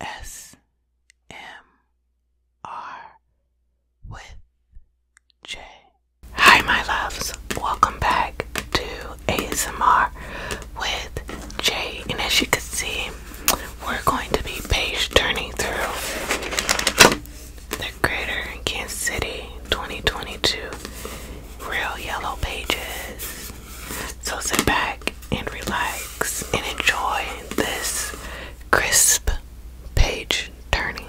A S M R with J. Hi, my loves. Welcome back to ASMR with J. And as you can see, we're going to be page turning through the Greater Kansas City 2022 Real Yellow Pages. So sit back and relax and enjoy this crisp page turning.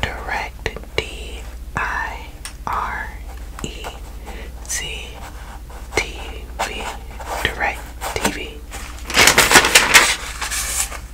Direct D I R E C T V Direct TV.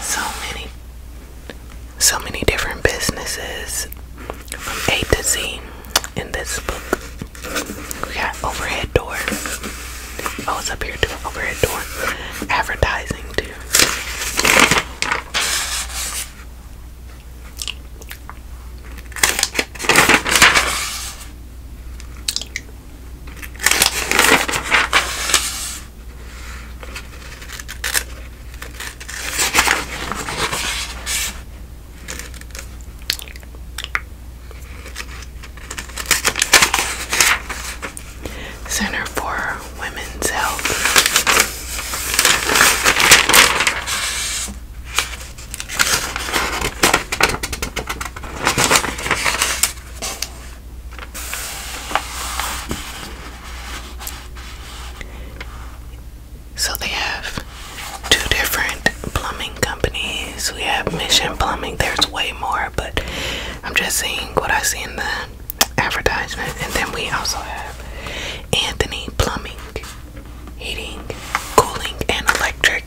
So many, so many different businesses from A to Z in this book. We got overhead door. Oh, it's up here too. Overhead door. Advertising too. Center for Women's Health. So they have two different plumbing companies. We have Mission Plumbing. There's way more, but I'm just seeing what I see in the advertisement. And then we also have Anthony Plumbing, Heating, Cooling, and Electric.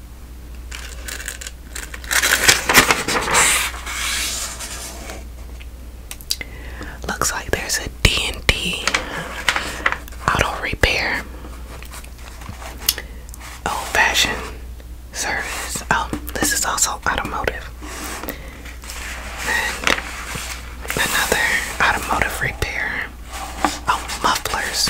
Looks like there's a D&D auto repair. Old fashioned service. Oh, this is also automotive. And another automotive repair. Oh, mufflers.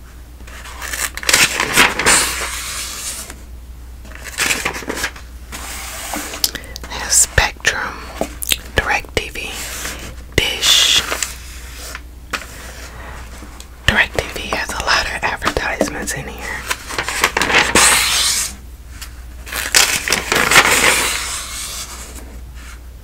There's Spectrum, DirecTV, Dish. DirecTV has a lot of advertisements in here.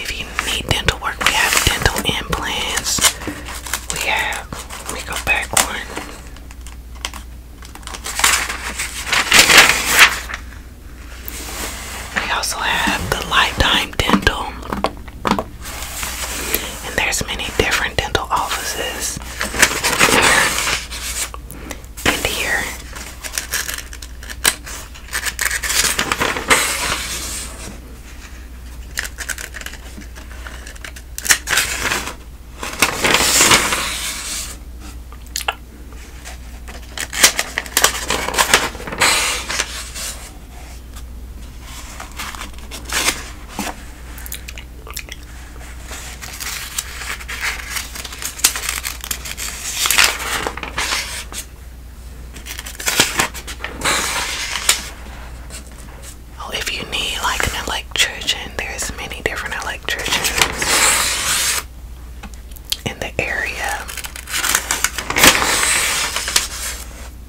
If you need dental work, we have dental implants. We have, let go back one. We also have the Lifetime Dental. And there's many different dental offices there here. Oh, if you need like an electrician, there's many different electricians in the area.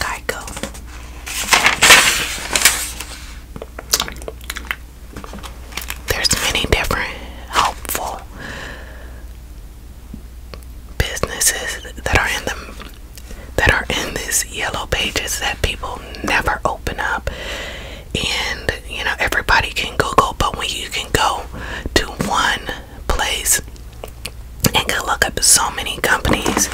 Geico. There's many different helpful businesses that are in them that are in this yellow pages that people never open up and you know everybody can google but when you can go to one place and could look up so many companies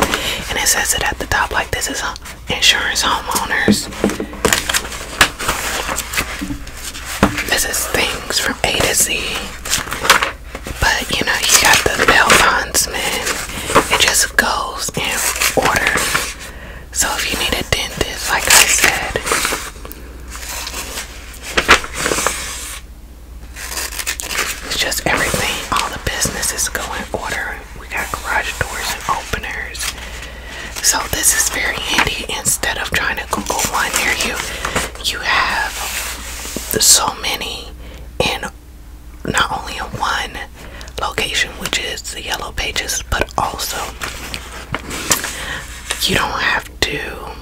and it says it at the top like this is insurance homeowners this is things from a to z but you know you got the bell man. it just goes in order so if you need a dentist like i said it's just everything. All the businesses go in order. We got garage doors and openers. So this is very handy. Instead of trying to Google one near you, you have so many in not only one location, which is the yellow pages, but also you don't have to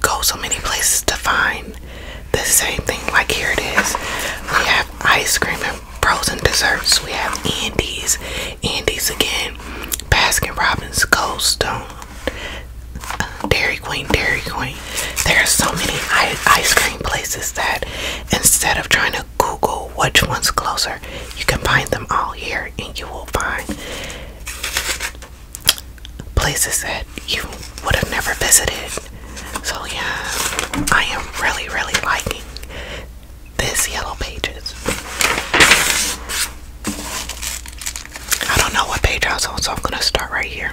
go so many places to find the same thing. Like here it is. We have ice cream and frozen desserts. We have Andes, Andes again, Baskin Robbins, Goldstone, Stone, uh, Dairy Queen, Dairy Queen. There are so many ice cream places that instead of trying to Google which one's closer, you can find them all here and you will find places that you would have never visited. So, yeah, I am really, really liking this Yellow Pages. I don't know what page I was on, so I'm gonna start right here.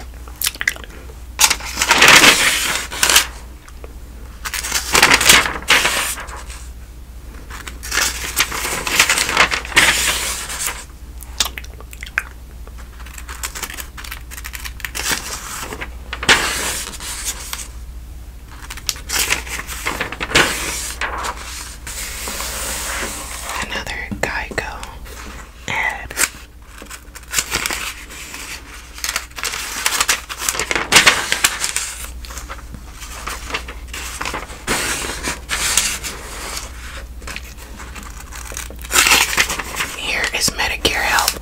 Another Geico ad. Here is Medicare help,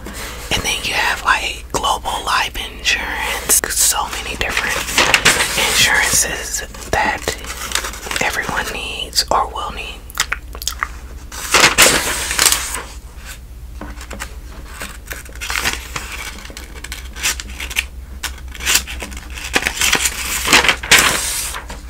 and then you have like global life insurance, so many different insurances that everyone needs or will need.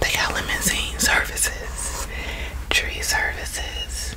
They got limousine services, tree services.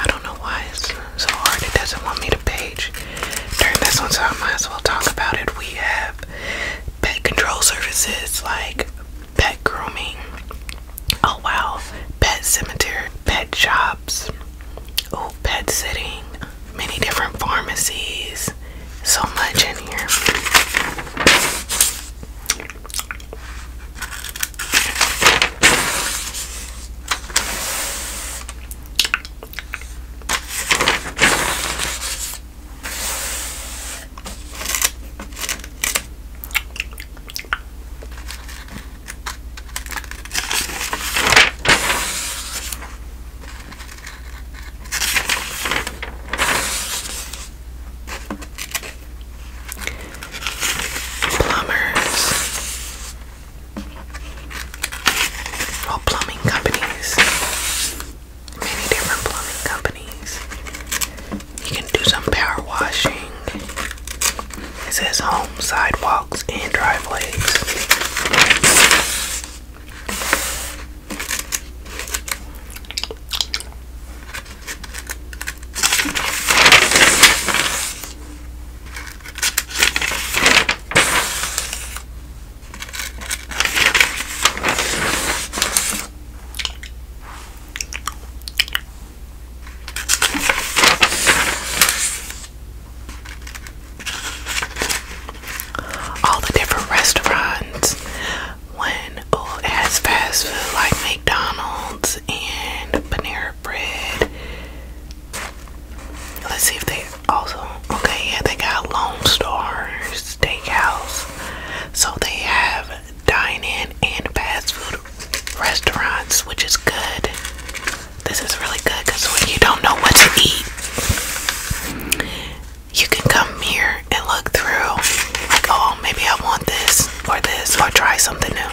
I don't know why it's so hard. It doesn't want me to page during this one, so I might as well talk about it. We have pet control services like pet grooming. Oh wow, pet cemetery, pet shops, oh pet sitting, many different pharmacies. So much in here. Plumbers. Well, plumbing companies. Many different plumbing companies. You can do some power washing. It says home sidewalk sidewalks and driveways all the different restaurants when oh, has fast food like McDonald's and Panera Bread. Let's see if they also okay, yeah, they got Lone Star Steakhouse. So they have dine in and fast food restaurants, which is good. This is really good because when you don't know what to eat, you can come here and look through, like, oh, maybe I want this or this, or try something new.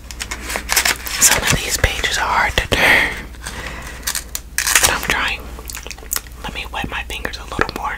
Some of these pages are hard to turn, but I'm trying. Let me wet my fingers a little more.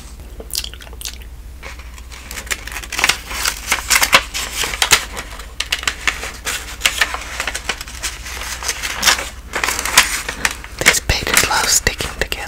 These pages love sticking together.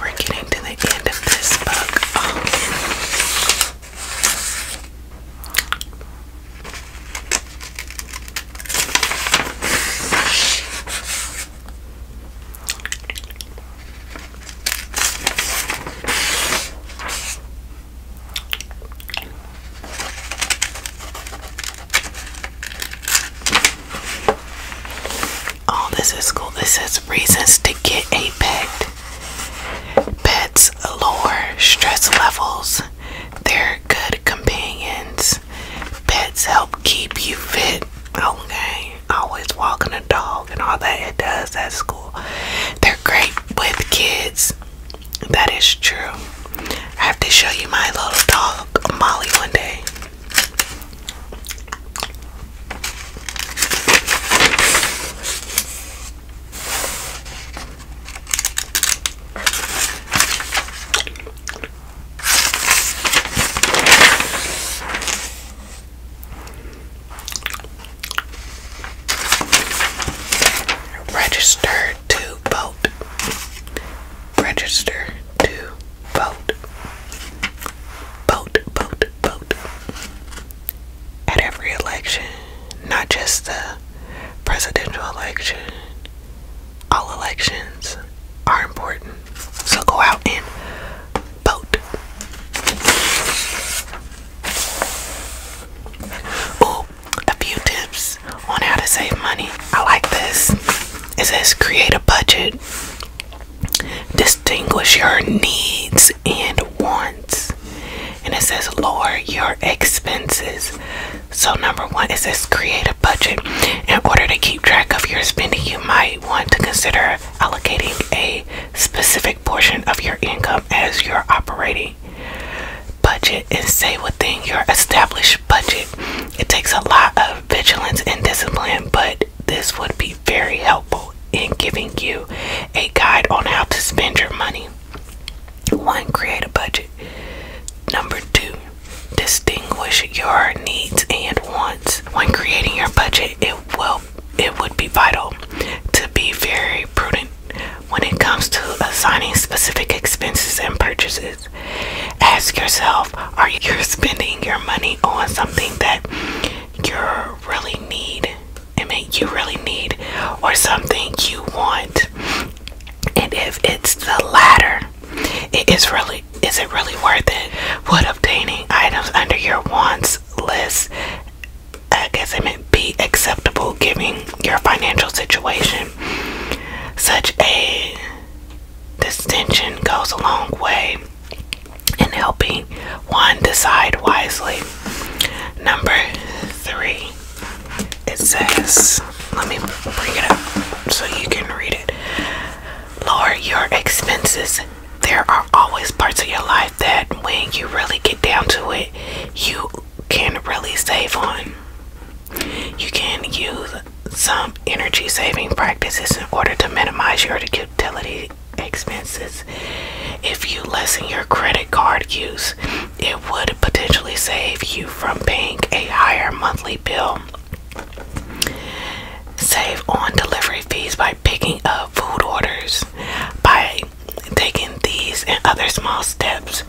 We're getting to the end of this book. Um, Oh, this is cool. This says reasons to get a pet. Pets lower stress levels. They're good companions. Pets help keep you fit. Okay. Always walking a dog and all that it does. That's cool. They're great with kids. That is true. I have to show you my little dog, Molly, one day. Registered to vote. Register to vote. Vote, vote, vote. At every election, not just the presidential election, all elections are important. So go out and vote. Oh, a few tips on how to save money. I like this. It says create a budget, distinguish your needs and wants, and it says lower your expenses. So, number one, it says create a budget. In order to keep track of your spending, you might want to consider allocating a specific portion of your income as your operating budget and stay within your established budget. It takes a lot of vigilance and discipline, but this would be very helpful in giving you a guide on how to spend your money. One, create a budget. Number two, distinguish your needs and wants. When creating your budget, it will it would be vital to be very prudent when it comes to assigning specific expenses and purchases, ask yourself are you spending your money on something that you really need? I mean, you really need, or something you want? And if it's the latter, it is really is it really worth it? Would obtaining items under your wants list, I guess I meant be acceptable given your financial situation. Such a distinction goes a long way in helping one decide wisely. Number three, it says, let me bring it up so you can read it. Lower your expenses. There are always parts of your life that when you really get down to it, you can really save on. You can use some energy saving practices in order to minimize your utility expenses. If you lessen your credit card use, it would potentially save you from paying a higher monthly bill. Save on delivery fees by picking up food orders. By taking these and other small steps,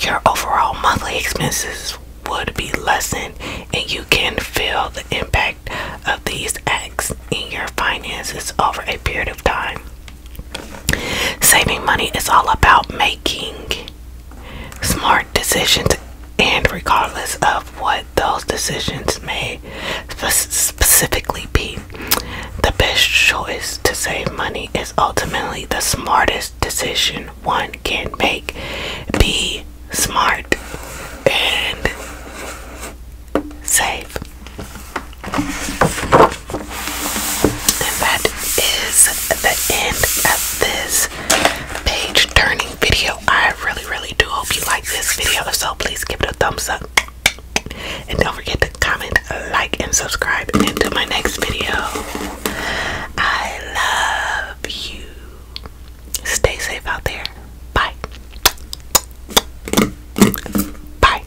your overall monthly expenses would be lessened and you can feel the impact of these acts in your finances over a period of time. Saving money is all about making smart decisions and regardless of what those decisions may specifically be, the best choice to save money is ultimately the smartest decision one can make. Be smart and safe. And that is the end of this page turning video. I really, really do hope you like this video. If so, please give it a thumbs up. And don't forget to comment, like, and subscribe. until my next video. I love you. Stay safe out there. Bye. Bye.